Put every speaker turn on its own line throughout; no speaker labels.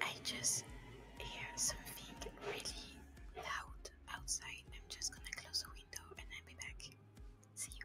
I just hear something really loud outside. I'm just gonna close the window and I'll be back. See you.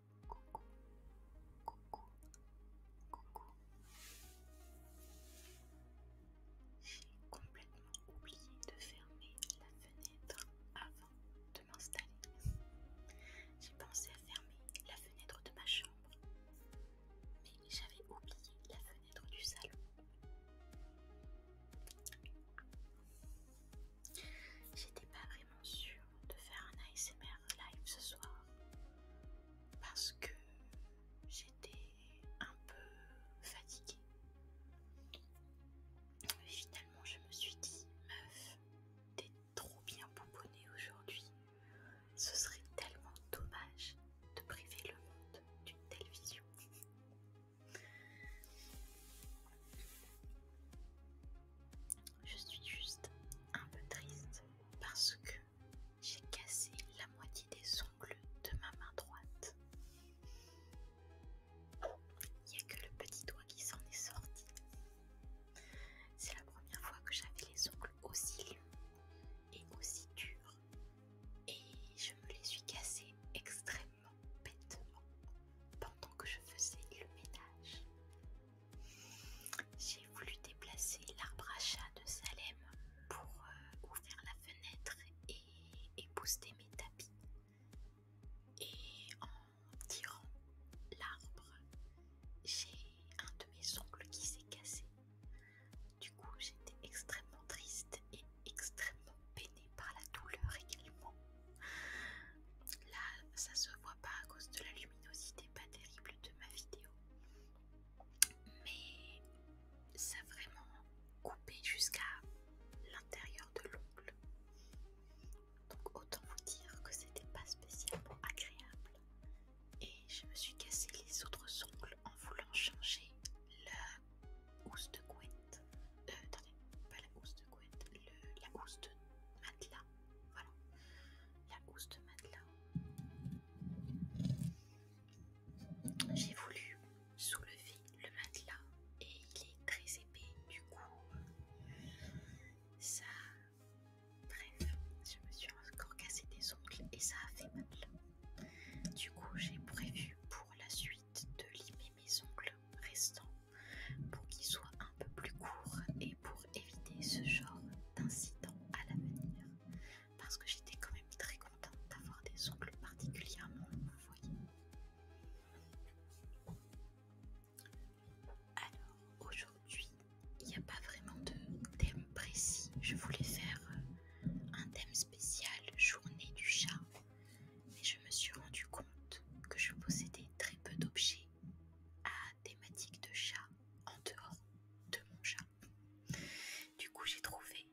Coucou. Coucou. Coucou. J'ai complètement oublié de fermer la fenêtre avant de m'installer. J'ai pensé à fermer la fenêtre de ma chambre, mais j'avais oublié la fenêtre du salon. J'étais pas vraiment sûre de faire un ASMR live ce soir parce que j'étais un peu fatiguée. Mais finalement, je me suis dit, meuf, t'es trop bien pouponnée aujourd'hui. Ce serait tellement dommage de priver le monde d'une telle vision. Je suis juste un peu triste parce que j'ai cassé la moitié des ongles de ma main droite. Il n'y a que le petit doigt qui s'en est sorti. C'est la première fois que j'avais les ongles aussi longs et aussi durs. Et je me les suis cassés extrêmement bêtement pendant que je faisais le ménage. J'ai voulu déplacer l'arbre à chat de Salem pour euh, ouvrir la fenêtre et, épouser mes tapis. Et en tirant l'arbre, j'ai un de mes ongles qui s'est cassé. Du coup, j'étais extrêmement triste et extrêmement peinée par la douleur également. Là, ça se voit pas à cause de la luminosité pas terrible de ma vidéo. Mais ça a vraiment coupé jusqu'à l'intérieur de l'ongle. Donc autant vous dire que c'était pas spécialement agréable. Et je me suis cassé les autres ongles en voulant changer la housse de couette. Euh, attendez, pas la housse de couette, la housse de matelas voilà, la housse de matelas. J'ai voulu soulever le matelas et il est très épais, du coup, ça. Bref, je me suis encore cassé des ongles et ça a fait mal. Du coup, j'ai prévu pour la suite de limer mes ongles restants pour qu'il soit un peu plus court et pour éviter ce genre d'incident à l'avenir. Parce que j'étais quand même très contente d'avoir des ongles particulièrement voyez. Alors aujourd'hui, il n'y a pas vraiment de thème précis. Je voulais faire un thème spécial journée du chat, mais je me suis rendu compte que je possédais très peu d'objets à thématique de chat en dehors de mon chat. Du coup, j'ai trouvé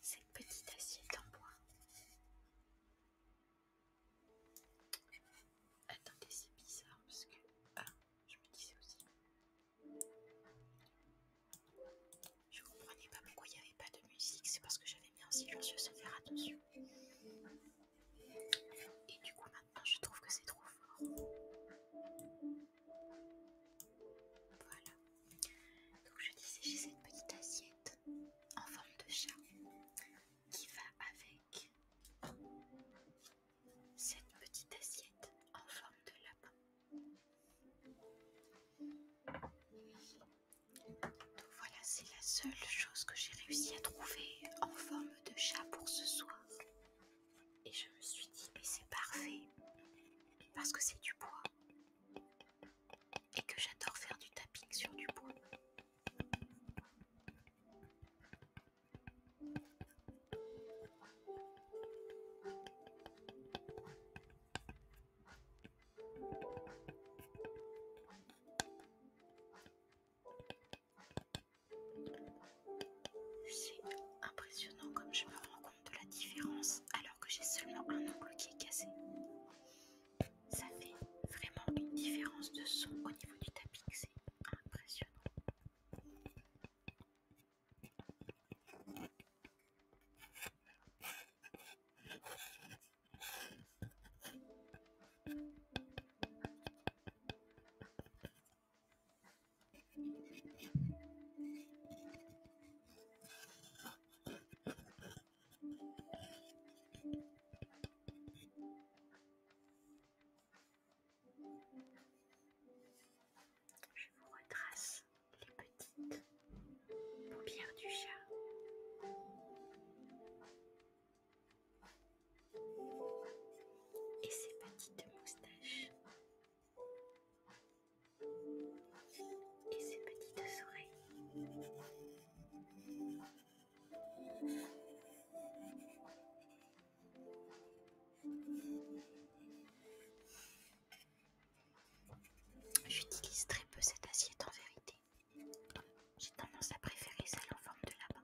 cette petite assiette en bois. attendez, c'est bizarre parce que ah, je me disais aussi. Je comprenais pas pourquoi il n'y avait pas de musique, c'est parce que j'avais mis un silencieux sans faire attention. Et du coup, maintenant, je trouve que c'est trop fort. Voilà. Donc, je disais, j'ai cette petite assiette en forme de chat qui va avec cette petite assiette en forme de lapin. Donc voilà, c'est la seule chose que j'ai réussi à trouver en forme de chat pour ce soir. Et je me suis dit, mais c'est parfait, parce que c'est du bois. Et que j'adore faire du tapping sur du bois. C'est impressionnant comme je me rends compte de la différence alors que j'ai seulement un ongle qui est cassé. Ça fait vraiment une différence de son au niveau du tapis, c'est impressionnant. Je vous retrace les petites paupières du chat et ses petites moustaches et ses petites oreilles. J'utilise très peu cette assiette en vérité. J'ai tendance à préférer celle en forme de lapin.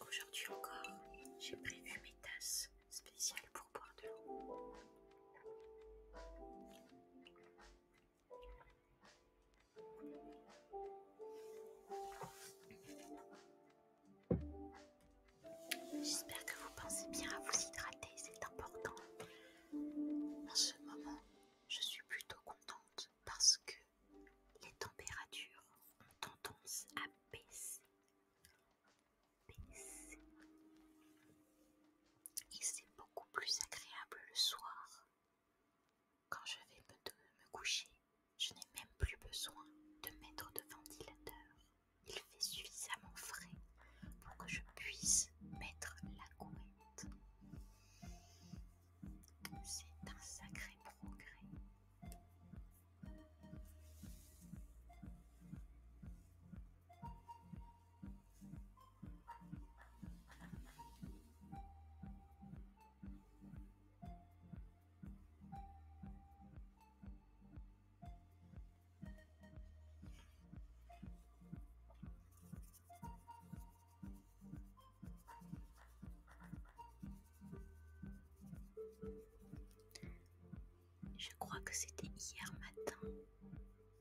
Aujourd'hui encore, j'ai prévu mes tasses spéciales pour boire de l'eau. J'espère que vous pensez bien à vous hydrater, c'est important. En ce moment, je suis plutôt contente parce que les températures ont tendance à baisser. Et c'est beaucoup plus agréable le soir. Quand je vais me, me coucher, je n'ai même plus besoin de mettre de ventilateur. Il fait suffisamment frais pour que je puisse mettre la couette. C'est un sacré progrès. Je crois que c'était hier matin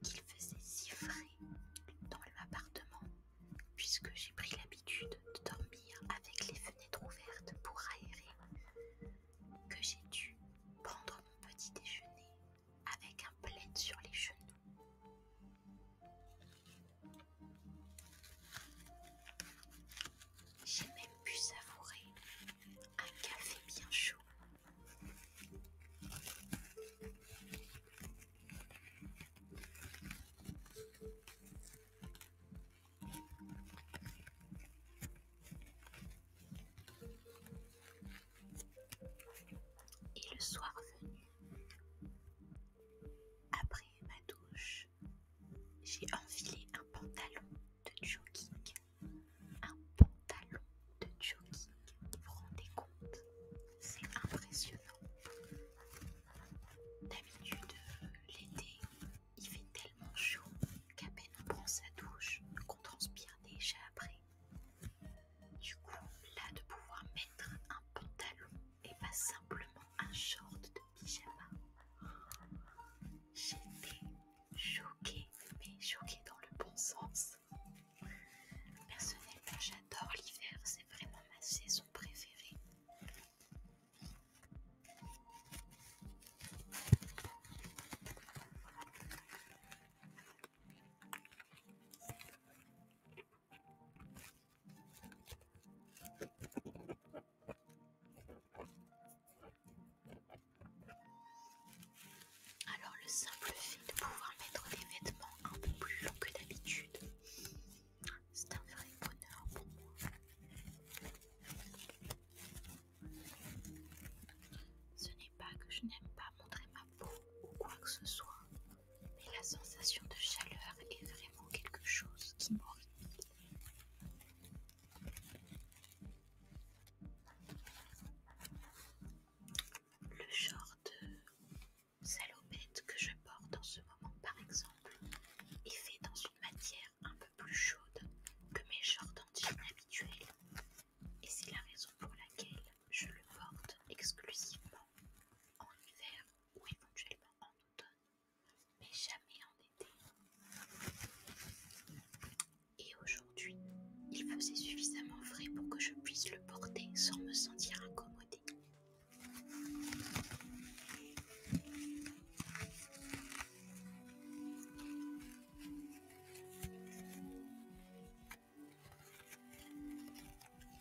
qu'il faisait si frais dans l'appartement, puisque j'ai pris l'habitude de dormir avec les fenêtres ouvertes pour aérer, que j'ai dû prendre mon petit déjeuner avec un plaid sur les genoux. J'ai même pu savourer un café bien chaud. Et le soir venu, après ma douche, j'ai enfilé un pantalon de jogging. Un pantalon de jogging, vous vous rendez compte C'est impressionnant. D'habitude, l'été, il fait tellement chaud qu'à peine on prend sa douche qu'on transpire déjà après. Du coup, là, de pouvoir mettre un pantalon et pas simplement un short de pyjama. J'étais choquée, mais choquée dans le bon sens. Personnellement, j'adore l'hiver, c'est vraiment ma saison préférée. Alors le simple fait de pouvoir mettre des vêtements un peu plus longs que d'habitude, c'est un vrai bonheur pour moi. Ce n'est pas que je n'aime pas montrer ma peau ou quoi que ce soit, mais la sensation de chaleur est vraiment quelque chose qui m'horripile. Le genre de salopette que je porte en ce moment, par exemple, est fait dans une matière un peu plus chaude que mes genres d'antenne habituels. Et c'est la raison pour laquelle je le porte exclusivement en hiver ou éventuellement en automne, mais jamais en été. Et aujourd'hui, il faisait suffisamment frais pour que je puisse le porter sans me sentir incommodée.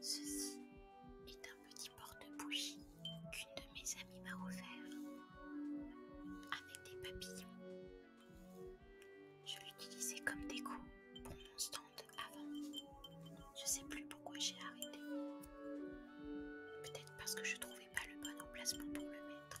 Ceci est un petit porte-bougie qu'une de mes amies m'a offert avec des papillons. Je l'utilisais comme déco pour mon stand avant. Je sais plus pourquoi j'ai arrêté. Peut-être parce que je trouvais pas le bon emplacement pour le mettre.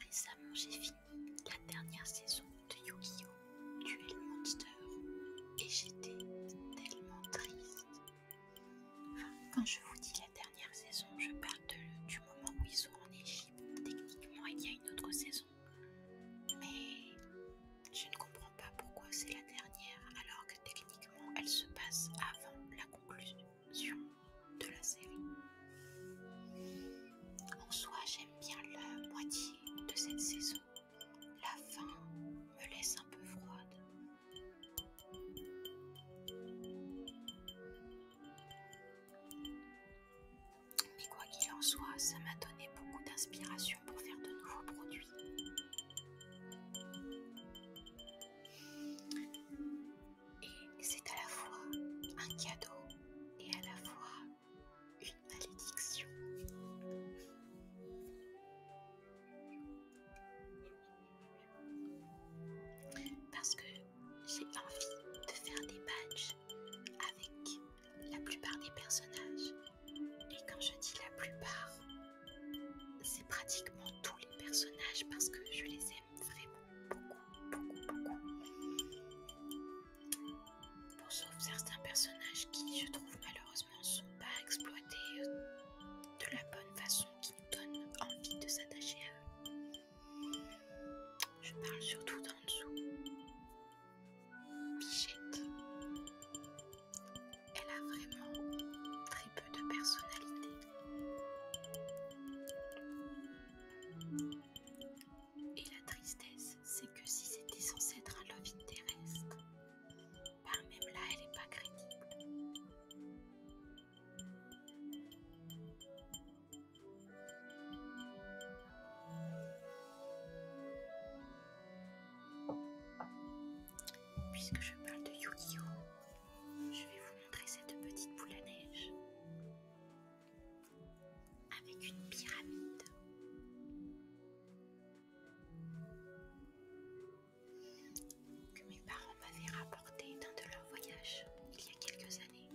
Récemment, j'ai fini la dernière saison de Yu-Gi-Oh! Duel Monster et j'étais tellement triste. quand je vous dis la dernière saison, je parle du moment où ils sont en Égypte. Techniquement, il y a une autre saison mais je ne comprends pas pourquoi c'est la dernière alors que techniquement elle se passe avant la conclusion de la série. En soi, j'aime bien la moitié de cette saison. La fin me laisse un peu froide. Mais quoi qu'il en soit, ça m'a donné beaucoup d'inspiration pour faire de nouveaux produits. Et c'est à la fois un cadeau et à la fois une malédiction. Parce que j'ai envie de faire des badges avec la plupart des personnages. Et quand je dis la plupart, c'est pratiquement tous les personnages parce que je les aime vraiment beaucoup, beaucoup, beaucoup. sauf certains personnages qui, je trouve malheureusement, sont pas exploités euh, de la bonne façon qui nous donne envie de s'attacher à eux. Je parle surtout d'en dessous. Bichette. Elle a vraiment très peu de personnalité. Et la tristesse, c'est que si c'était censé être un love terrestre ben par même là, elle n'est pas crédible. Puisque je parle de yu je vais vous montrer cette petite boule à neige avec une pyramide. Que mes parents m'avaient rapportée d'un de leurs voyages il y a quelques années.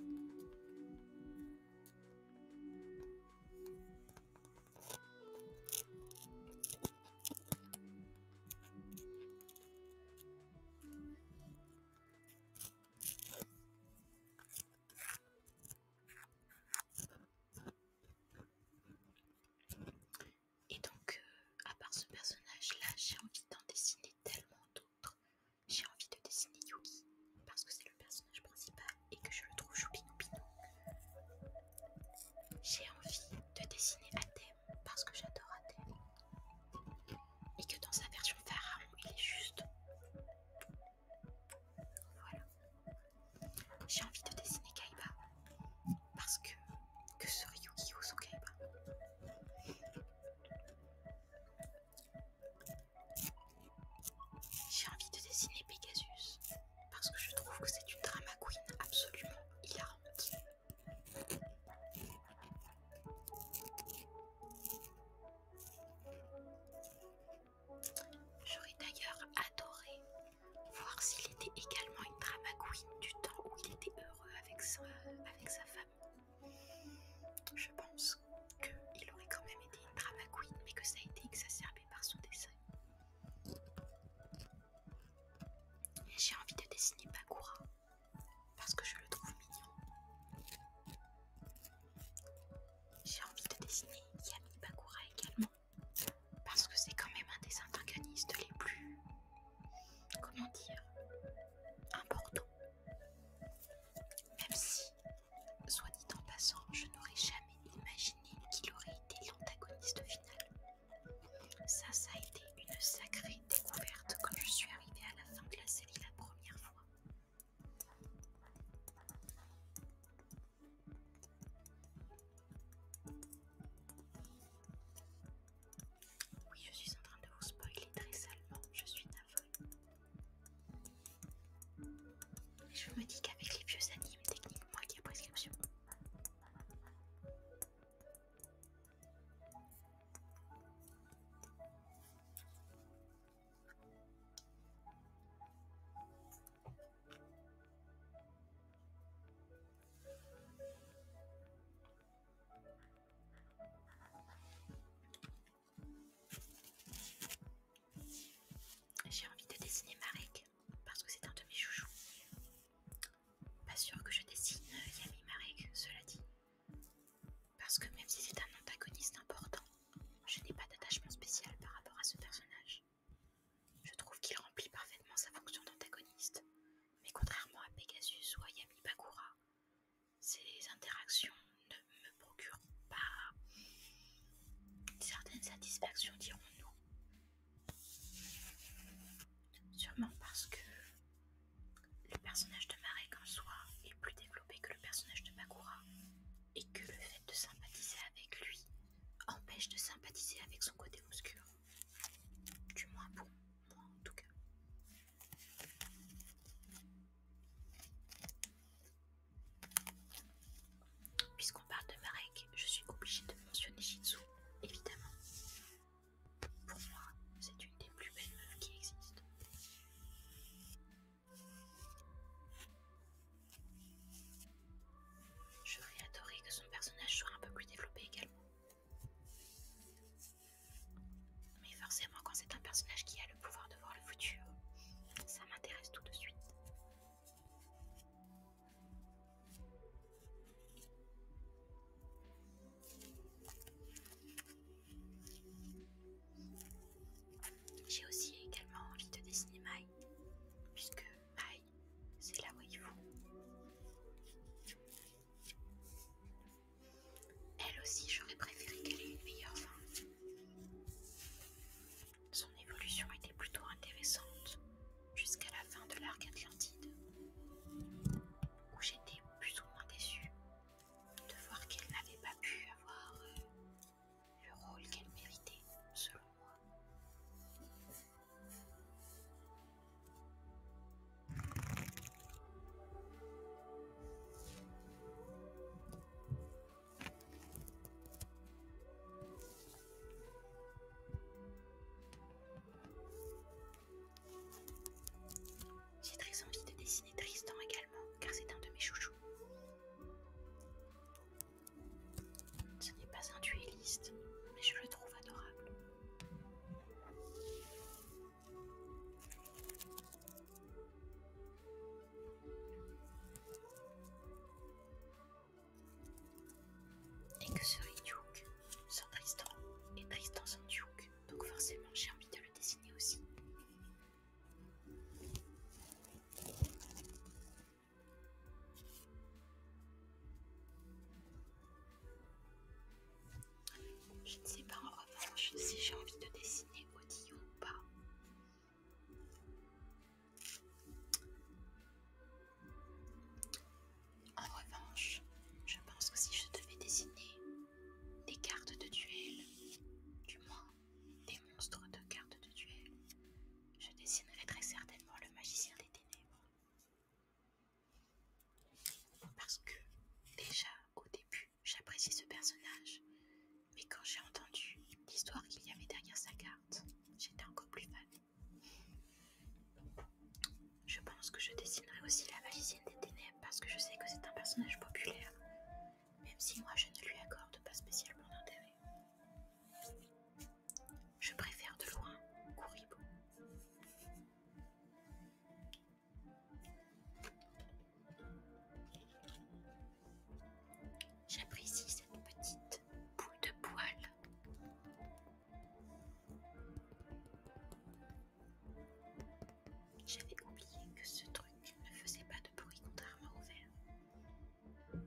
Et donc, euh, à part ce personnage-là, j'ai envie d'en dessiner tellement d'autres. J'ai envie de dessiner Yuki parce que c'est le personnage principal et que je le trouve choupinou J'ai envie de dessiner Atem parce que j'adore Atem et que dans sa version pharaon il est juste. Voilà. J'ai envie de dessiner Kaiba parce que que serait yu Kaiba j'ai envie de dessiner Pegasus parce que je trouve que c'est une drama queen absolument hilarante. J'aurais d'ailleurs adoré voir s'il était également une drama queen du temps où il était heureux avec sa, avec sa femme. Je pense qu'il aurait quand même a été drama mais que ça a été exacerbé par son dessin. J'ai envie de dessiner Bakura parce que je le trouve mignon. J'ai envie de dessiner Yami Bakura également parce que c'est quand même un des antagonistes les plus. comment dire. importants. Même si Soit dit en passant, je n'aurais jamais imaginé qu'il aurait été l'antagoniste final. Ça, ça a été une sacrée découverte quand je suis arrivée à la fin de la série la première fois. Oui, je suis en train de vous spoiler très salement, je suis je me dis qu'avec les vieux animes, techniquement, il y a prescription j'ai envie de dessiner Marek parce que c'est un de mes chouchous. Pas sûr que je dessine euh, Yami Marek, cela dit. Parce que même si c'est un antagoniste important, je n'ai pas d'attachement spécial par rapport à ce personnage. Je trouve qu'il remplit parfaitement sa fonction d'antagoniste, mais contrairement à Pegasus ou à Yami Bakura, ses interactions ne me procure pas certaines satisfactions, dirons-nous. Sûrement parce que le personnage de Marek en soi est plus développé que le personnage de Makura et que le fait de sympathiser avec lui empêche de sympathiser avec son côté obscur. Du moins pour moi en tout cas. Puisqu'on parle de Marek, je suis obligée de mentionner Shitsu, évidemment. Pour moi, c'est une des plus belles meufs qui existent. J'aurais adoré que son personnage soit un peu plus développé également. Mais forcément, quand c'est un personnage qui a pouvoir de voir le futur. Ça m'intéresse tout de suite. J'ai aussi également envie de dessiner Mai, puisque Mai, c'est la waifu. Elle aussi, j'aurais préféré qu'elle ait une meilleure fin. Son évolution était plutôt intéressante jusqu'à la fin de l'arc Atlantide, où j'étais plus ou moins déçue de voir qu'elle n'avait pas pu avoir euh, le rôle qu'elle méritait, selon moi. J'ai très envie de dessiner Tristan également, car c'est un de mes chouchous. Ce n'est pas un duelliste, mais je le trouve adorable. Et que ce Duke sans Tristan et Tristan sans Duke. Donc forcément j'ai envie de le dessiner aussi. Je ne sais pas en revanche si j'ai envie de dessiner Odillon ou pas. En revanche, je pense que si je devais dessiner des cartes de duel, du moins des monstres de cartes de duel, je dessinerais très certainement le magicien des ténèbres. Parce que déjà au début, j'apprécie ce personnage mais quand j'ai entendu l'histoire qu'il y avait derrière sa carte, j'étais encore plus fan. Je pense que je dessinerai aussi la magicienne des Ténèbres parce que je sais que c'est un personnage populaire, même si moi je ne lui accorde pas spécialement d'intérêt. Je préfère de loin Kuribo. J'apprécie cette petite boule de poil. J'avais oublié que ce truc ne faisait pas de bruit contrairement au verre.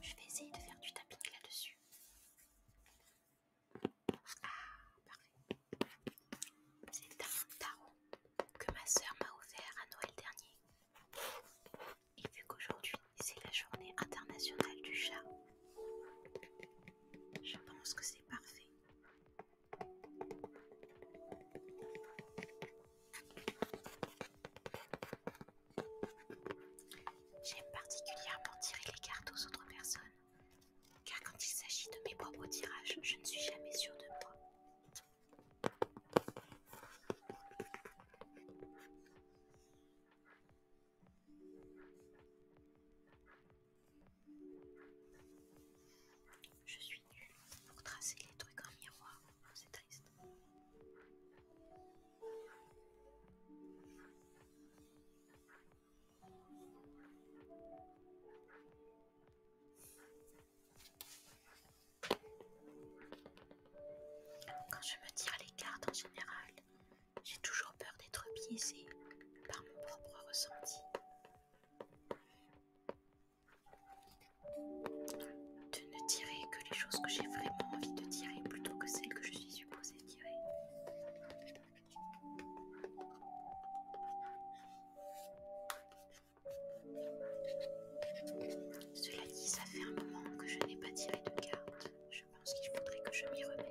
Je vais essayer de faire du tapping là-dessus parfait. C'est un tarot que ma sœur m'a offert à Noël dernier. Et vu qu'aujourd'hui c'est la journée internationale du chat, je pense que c'est parfait. J'aime particulièrement tirer les cartes aux autres personnes car quand il s'agit de mes propres tirages, je ne suis jamais sûre de moi. Je suis nulle pour tracer les trucs en miroir, c'est triste. Quand je me tire les cartes en général, j'ai toujours peur d'être biaisée par mon propre ressenti. De ne tirer que les choses que j'ai vraiment envie de tirer plutôt que celles que je suis supposée tirer. Cela dit, ça fait un moment que je n'ai pas tiré de carte. Je pense qu'il faudrait que je m'y remette.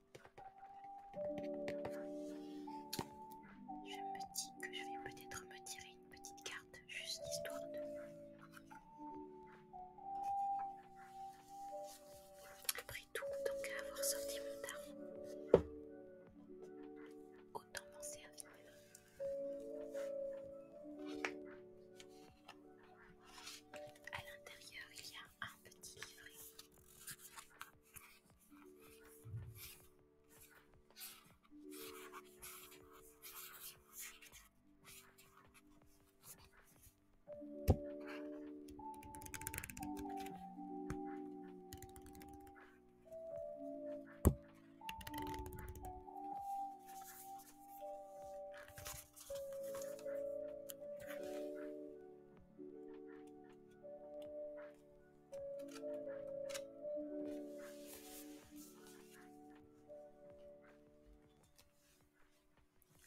Je me dis que je vais peut-être me tirer une petite carte, juste histoire de... Après tout, tant qu'à avoir sorti mon tarot, autant m'en servir.
À l'intérieur, il y a un petit livret.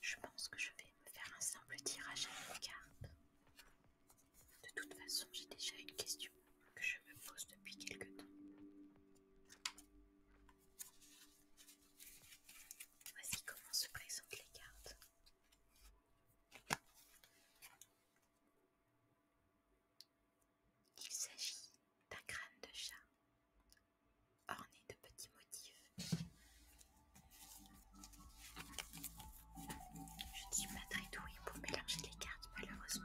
Je pense que je vais faire un simple tirage à une carte. De toute façon, j'ai déjà une question que je me pose depuis quelque temps. Voici comment se présentent les cartes. Il s'agit d'un crâne de chat orné de petits motifs. Je ne suis pas très pour mélanger les cartes malheureusement.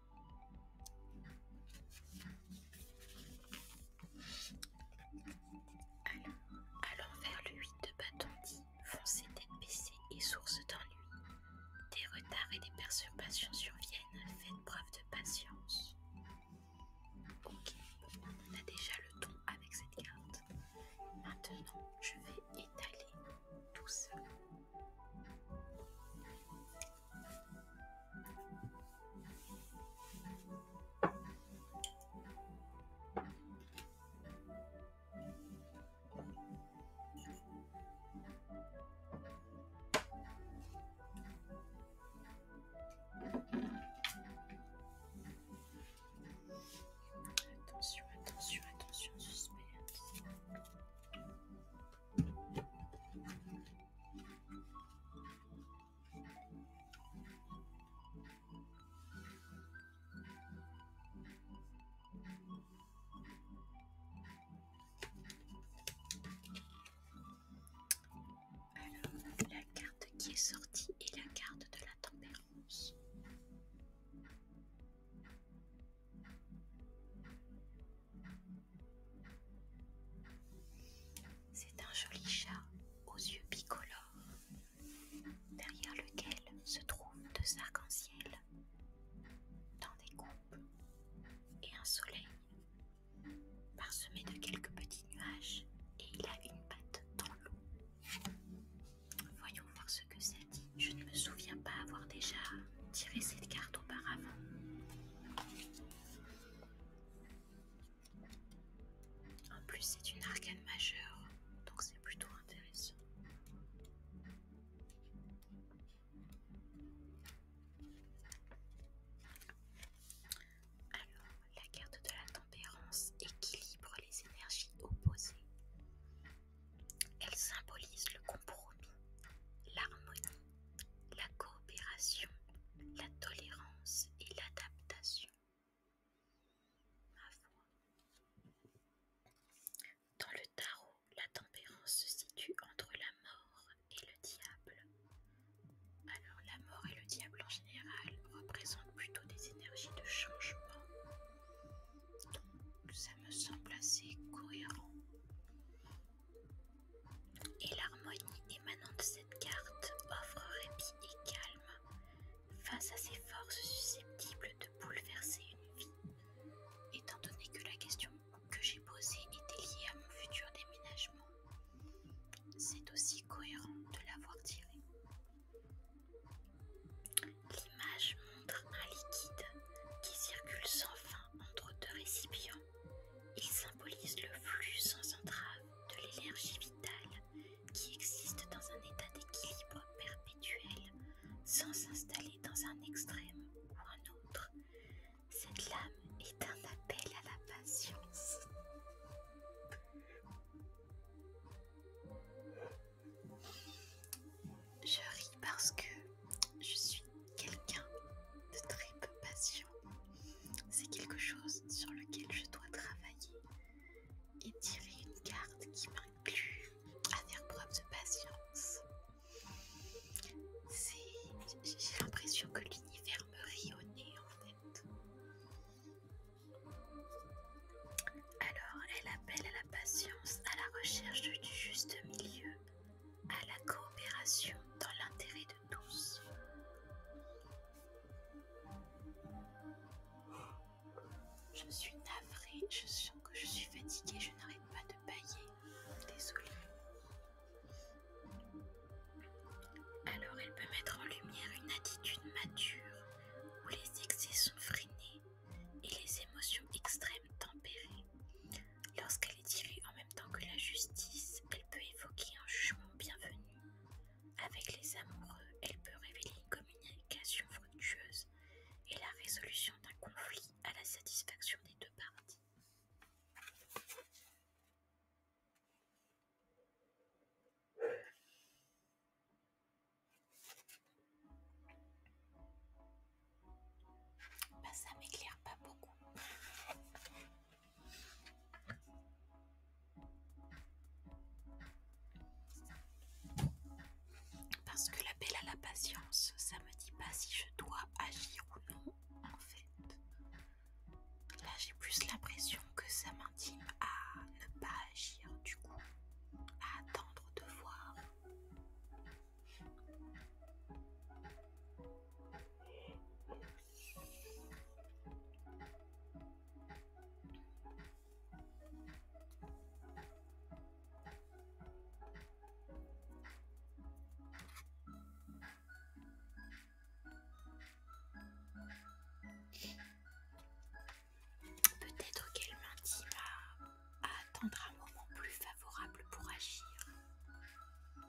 Allons vers le 8 de dit, foncez tête baissée et source d'ennui. Des retards et des perturbations surviennent, faites preuve de patience. Ok, on a déjà le ton avec cette carte. Maintenant, je vais étaler tout ça Attention, attention, attention, suspense. Alors, la carte qui est sortie est la carte de la tempérance. C'est un joli chat aux yeux bicolores, derrière lequel se trouvent deux arcs-en-ciel, dans des coupes, et un soleil, parsemé de quelques petits nuages, et il a une patte dans l'eau. Voyons voir ce que ça dit. Je ne me souviens pas avoir déjà tiré cette carte auparavant. En plus, c'est une arcane majeure, donc c'est plutôt intéressant. Alors, la carte de la tempérance équilibre les énergies opposées. Elle symbolise le compromis, l'harmonie la coopération, la tolérance et l'adaptation. Dans le tarot, la tempérance se situe entre la mort et le diable. Alors la mort et le diable en général représentent plutôt des énergies de changement. Donc ça me semble assez cohérent. Et l'harmonie émanant de cette carte offre répit et calme face à ces forces susceptibles de bouleverser une vie. Étant donné que la question que j'ai posée était liée à mon futur déménagement, c'est aussi cohérent de l'avoir tirée. L'image montre un liquide qui circule sans fin entre deux récipients il symbolise le flux sans entrave de l'énergie vitale qui existe dans un état d'équilibre perpétuel sans s'installer dans un extrême ou un autre. Cette lame est un appel à la patience. Je ris parce que je suis quelqu'un de très peu patient. C'est quelque chose sur lequel je dois travailler et tirer une carte qui m'inclut à faire preuve de patience. J'ai l'impression que l'univers me rit en fait. Alors, elle appelle à la patience, à la recherche du juste milieu à la coopération dans l'intérêt de tous. Je suis navrée, je sens que je suis fatiguée, je n'arrête pas de bailler. Désolée. Alors elle peut mettre en lumière une attitude mature où les excès sont freinés et les émotions extrêmes tempérées. Lorsqu'elle est tirée en même temps que la justice, elle peut évoquer un jugement bienvenu. Avec les amoureux, elle peut révéler une communication fructueuse et la résolution d'un conflit à la satisfaction des deux parties. Bah, ça m'éclaire pas beaucoup. Parce que l'appel à la patience, ça me dit pas si je dois agir ou non, en fait. Là, j'ai plus l'impression que ça m'intime à ne pas agir, du coup, à attendre de voir. Peut-être qu'elle m'intime à attendre un moment plus favorable pour agir.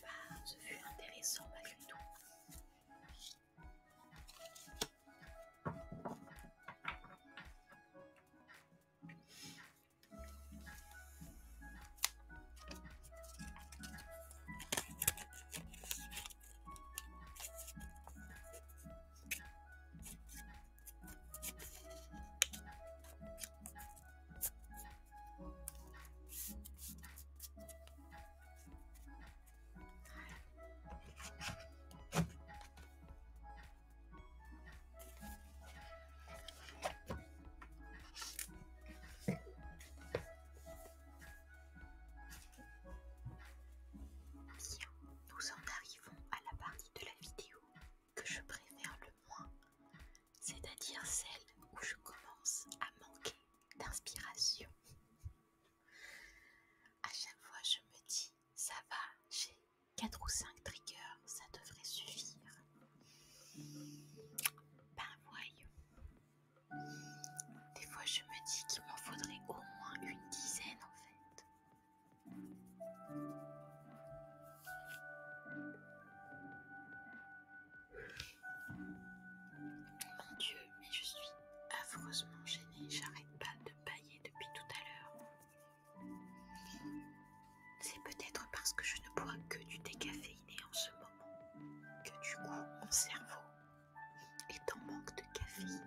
Bah, ce fut intéressant malgré tout. Bien, nous en arrivons à la partie de la vidéo que je préfère le moins, c'est-à-dire celle où je commence à manquer d'inspiration. À chaque fois, je me dis, ça va, j'ai 4 ou 5 triggers, ça devrait suffire. Ben voyons. Des fois, je me dis qu'il m'en faudrait au moins une dizaine en fait. Mon Dieu, mais je suis affreusement gênée, j'arrête pas de bailler depuis tout à l'heure. C'est peut-être parce que je ne bois que du décaféiné en ce moment que du coup mon cerveau est en manque de caféine.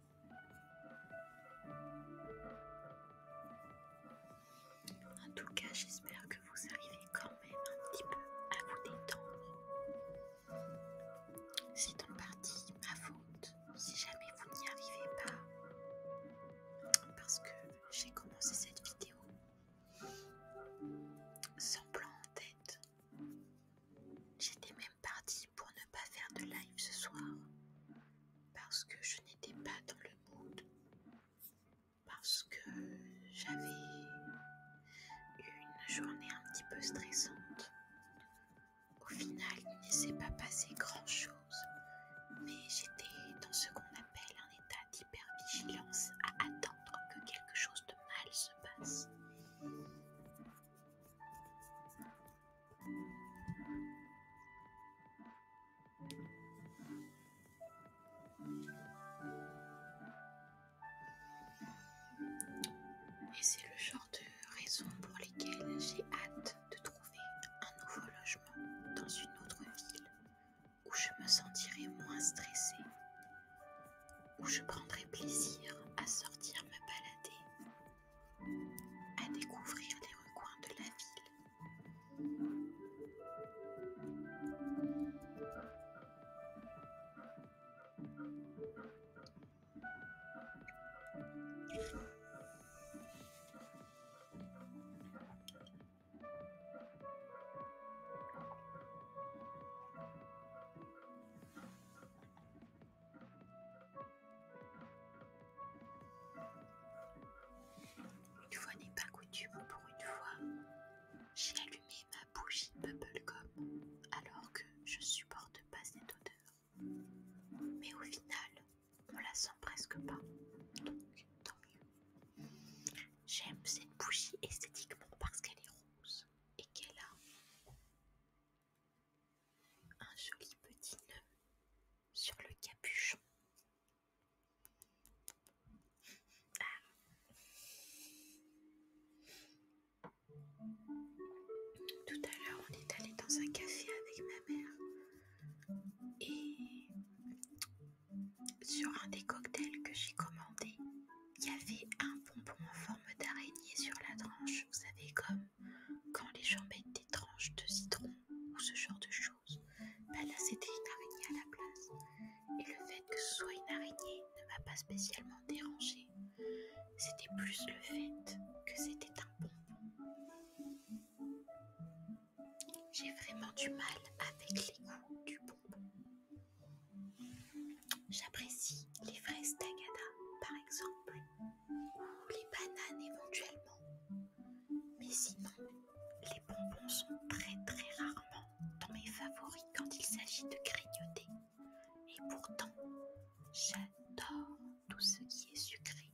En tout cas, j'espère que vous arrivez quand même un petit peu à vous détendre. C'est en partie ma faute si jamais vous n'y arrivez pas, parce que j'ai commencé cette vidéo sans plan en tête. J'étais même partie pour ne pas faire de live ce soir, parce que je n'étais pas dans le mood, parce que j'avais eu une journée un petit peu stressante. Au final, il ne s'est pas passé grand-chose, mais j'étais dans ce qu'on appelle un état d'hypervigilance à attendre que quelque chose de mal se passe. Et c'est le genre de raison pour lesquelles j'ai hâte de trouver un nouveau logement dans une autre ville où je me sentirai moins stressée, où je prendrai plaisir à sortir me balader à découvrir les recoins de la ville. Une fois n'est pas coutume pour une fois. J'ai allumé ma bougie bubblegum alors que je supporte pas cette odeur. Mais au final, on la sent presque pas. Donc tant mieux. J'aime cette bougie esthétiquement parce qu'elle est rose et qu'elle a un joli petit nœud sur le capuchon. Ah. Tout à l'heure, on est allé dans un café avec ma mère et sur un des cocktails que j'ai commandé, il y avait un pompon en forme d'araignée sur la tranche, vous savez, comme quand les gens mettent des tranches de citron ou ce genre de choses, bah là c'était une araignée à la place. Et le fait que ce soit une araignée ne m'a pas spécialement dérangée. C'était plus le fait que c'était un bonbon. J'ai vraiment du mal avec les goûts du bonbon. J'apprécie les fraises dagada, par exemple, ou les bananes éventuellement. Mais sinon, les bonbons sont très très rarement dans mes favoris quand il s'agit de grignoter. Et pourtant, j'adore tout ce qui est sucré.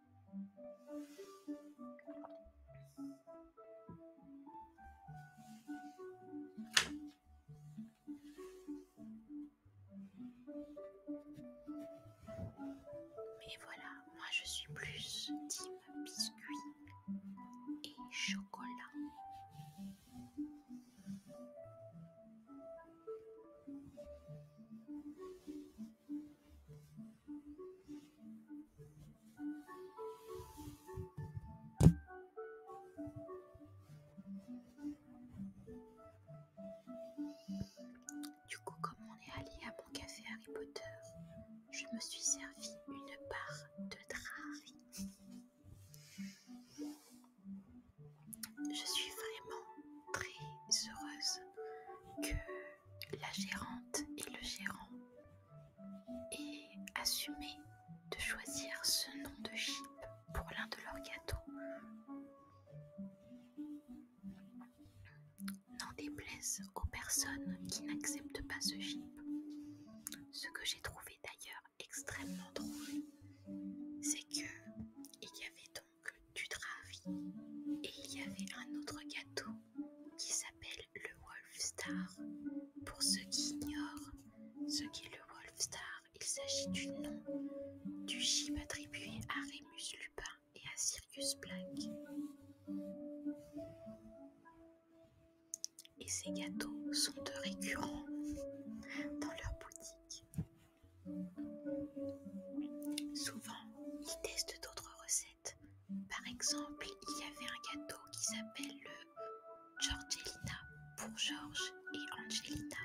Mais voilà, moi je suis plus type biscuit et chocolat. Du coup, comme on est allé à mon café Harry Potter, je me suis servi une part de drari. Je suis vraiment très heureuse que la gérante et le gérant et assumer de choisir ce nom de chip pour l'un de leurs gâteaux. N'en déplaise aux personnes qui n'acceptent pas ce chip. Ce que j'ai trouvé d'ailleurs extrêmement drôle, c'est que il y avait donc du et il y avait un autre gâteau qui s'appelle le Wolf Star. Pour ceux qui ignorent ce qu'est le Wolf Star, il s'agit du nom du chip attribué à Remus Lupin et à Sirius Black. Et ces gâteaux sont de récurrents dans leur boutique. Souvent, ils testent d'autres par exemple, il y avait un gâteau qui s'appelle le Georgelina pour Georges et Angelina.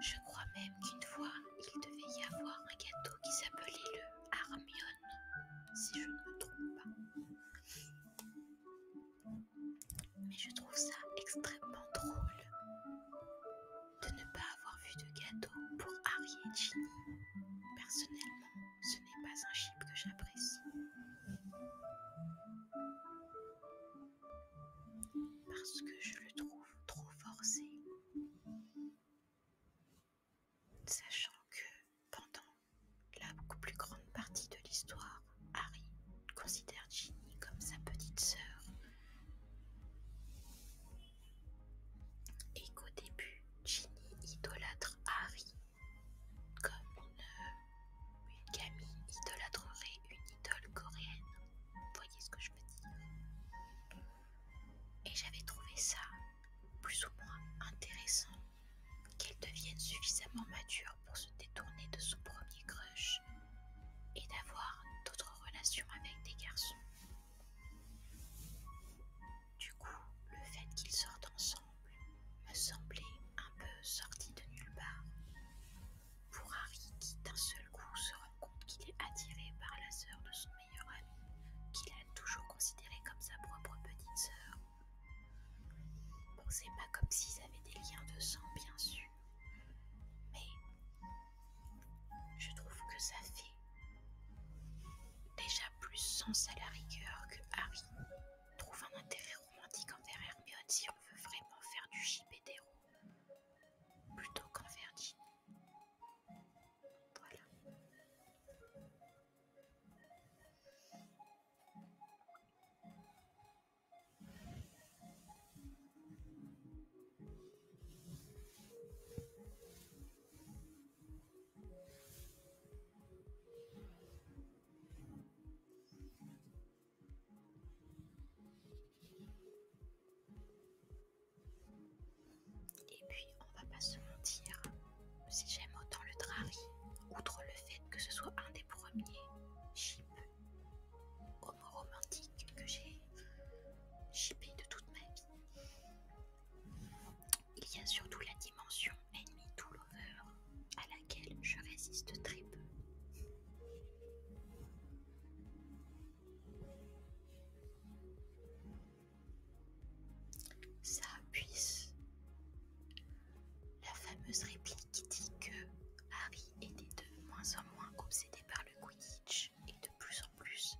Je crois même qu'une fois, il devait y avoir un gâteau qui s'appelait le Armione, si je ne me trompe pas. Mais je trouve ça extrêmement drôle de ne pas avoir vu de gâteau pour Harry et Ginny. Personnellement, ce n'est pas un chip que j'apprécie. Parce que je le trouve trop forcé. Sachant que pendant la plus grande partie de l'histoire, Harry considère Ginny comme sa petite sœur et qu'au début Ginny idolâtre Harry comme une, idolâtrerait une idole coréenne. Vous voyez ce que je veux dire Et j'avais trouvé ça plus ou moins intéressant qu'elle devienne suffisamment mature pour se détourner de son premier crush et d'avoir d'autres relations avec des garçons. Du coup, le fait qu'ils sortent ensemble me semblait un peu sorti de nulle part. Pour Harry qui d'un seul coup se rend compte qu'il est attiré par la sœur de son meilleur ami, qu'il a toujours considéré comme sa propre petite sœur. Bon, c'est pas comme s'ils avaient des liens de sang, bien sûr, mais je trouve que ça fait déjà plus sens à la rigueur que Harry trouve un intérêt romantique envers Hermione si on veut vraiment faire du d'héros plutôt qu'envers Ginny. Voilà. Et puis, on va pas se mentir, si j'aime autant le Drari, outre le fait que ce soit un des premiers chips homo que j'ai chippé de toute ma vie. Il y a surtout la dimension ennemi tout à laquelle je résiste très peu. Ça puisse. La fameuse réplique qui dit que Harry était de moins en moins obsédé par le Quidditch et de plus en plus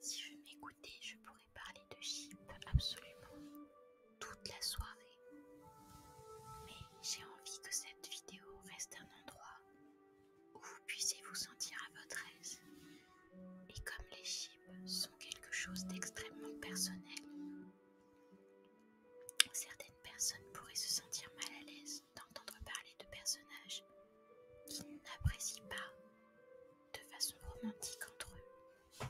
Si je m'écoutais, je pourrais parler de Chip absolument toute la soirée. Mais j'ai envie que cette vidéo reste un endroit où vous puissiez vous sentir à votre aise et comme les chips sont quelque chose d'extrêmement personnel, certaines personnes pourraient se sentir mal à l'aise d'entendre parler de personnages qu'ils n'apprécient pas de façon romantique entre eux.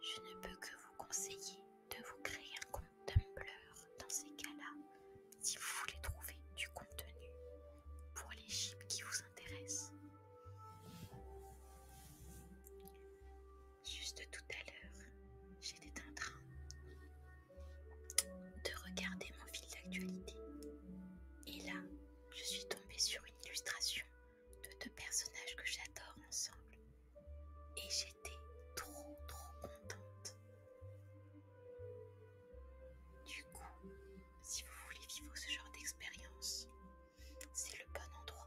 Je ne peux que vous conseiller de vous créer un compte Tumblr dans ces cas-là si vous voulez trouver du contenu pour les chips qui vous intéressent. Juste tout à l'heure, j'étais en train de regarder mon fil d'actualité et là, je suis tombée sur une illustration de deux personnages que j'adore ensemble. Et j'étais trop trop contente. Du coup, si vous voulez vivre ce genre d'expérience, c'est le bon endroit.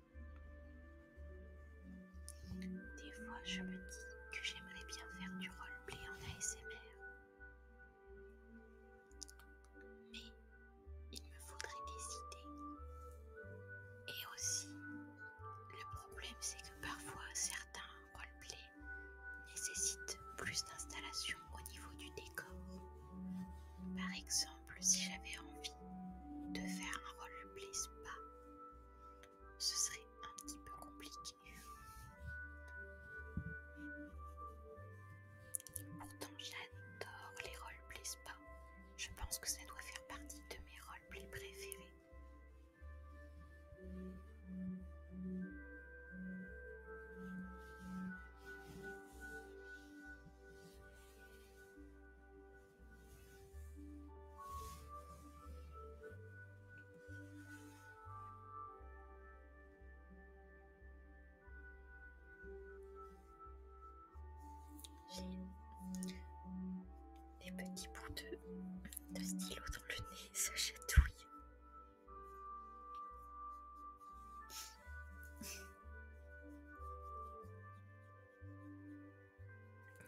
Des fois, je me dis que j'aimerais bien faire du roleplay en ASMR. Mais il me faudrait des idées. Et aussi, le problème c'est que parfois certains roleplays nécessitent plus d'installation au niveau du décor. Par exemple, si j'avais envie de faire un roleplay spa, ce serait un petit peu compliqué. Pourtant j'adore les roleplay spa. Je pense que ça doit faire partie de mes roleplays préférés. J'ai des petits bouts de, stylo dans le nez, ça chatouille.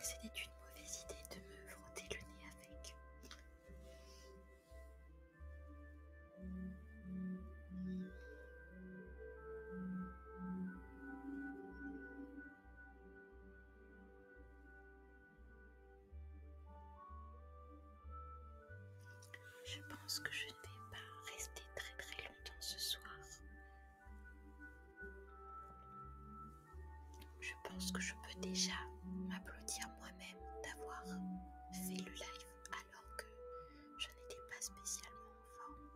C'était une mauvaise idée de me frotter le nez avec. Je pense que je ne vais pas rester très très ce soir. Je pense que je peux déjà m'applaudir moi-même d'avoir fait le live alors que je n'étais pas spécialement en forme.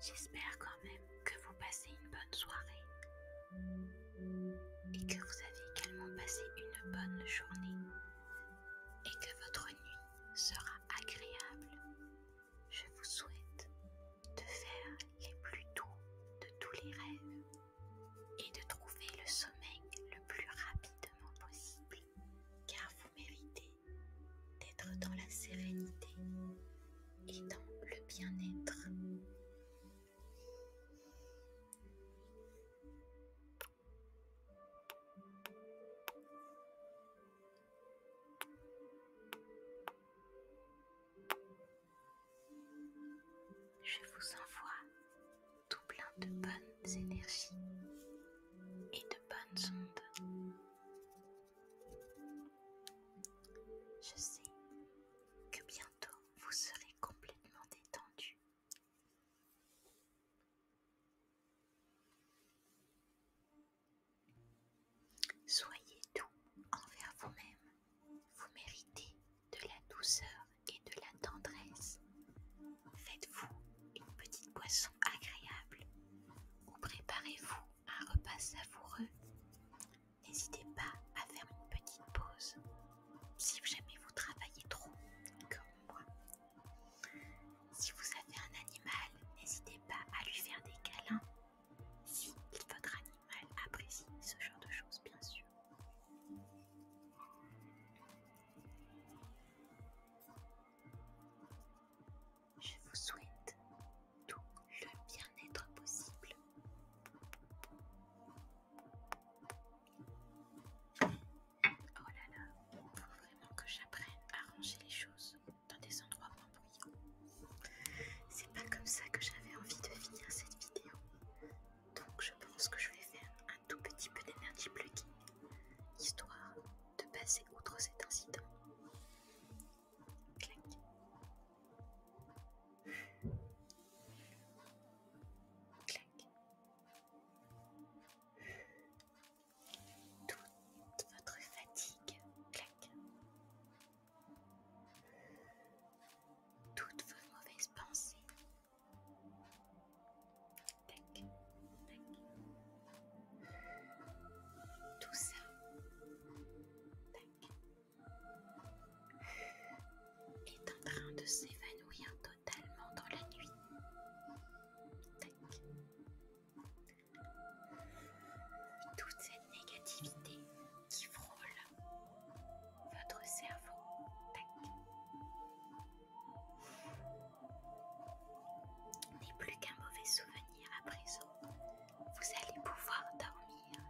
J'espère quand même que vous passez une bonne soirée et que vous avez également passé une bonne journée et que votre nuit sera agréable. Je vous souhaite de faire les plus doux de tous les rêves et de trouver le sommeil le plus rapidement possible car vous méritez d'être dans la sérénité et dans le bien-être. Je vous envoie tout plein de bonnes énergies et de bonnes ondes. Je sais que bientôt vous serez complètement détendu. Soyez doux envers vous-même. Vous méritez de la douceur et de la tendresse. Faites-vous une petite boisson agréable ou préparez-vous un repas savoureux N'hésitez pas à faire une petite pause si jamais vous travaillez trop, comme moi. Si vous avez un animal, n'hésitez pas à lui faire des câlins. Si votre animal apprécie ce genre de choses, bien sûr. Je vous souhaite tout le bien-être possible. Oh là là, faut vraiment que j'apprenne à ranger les choses dans des endroits moins bruyants. C'est pas comme ça que j'avais envie de finir cette vidéo. Donc je pense que je vais faire un tout petit peu d'énergie plugin, histoire de passer outre cet incident. Clac. Clac. Toute votre fatigue, clac. Toutes vos mauvaises pensées. Tac, Tout ça. Tac est en train de s'évanouir totalement dans la nuit. Toute cette négativité qui frôle votre cerveau. N'est plus qu'un mauvais souvenir à présent. Vous allez pouvoir dormir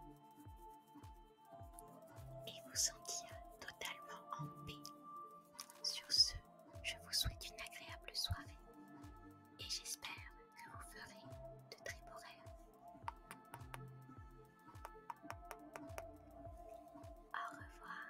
et vous sentir totalement en paix. Sur ce, je vous souhaite une agréable soirée et j'espère que vous ferez de très beaux rêves. Au revoir.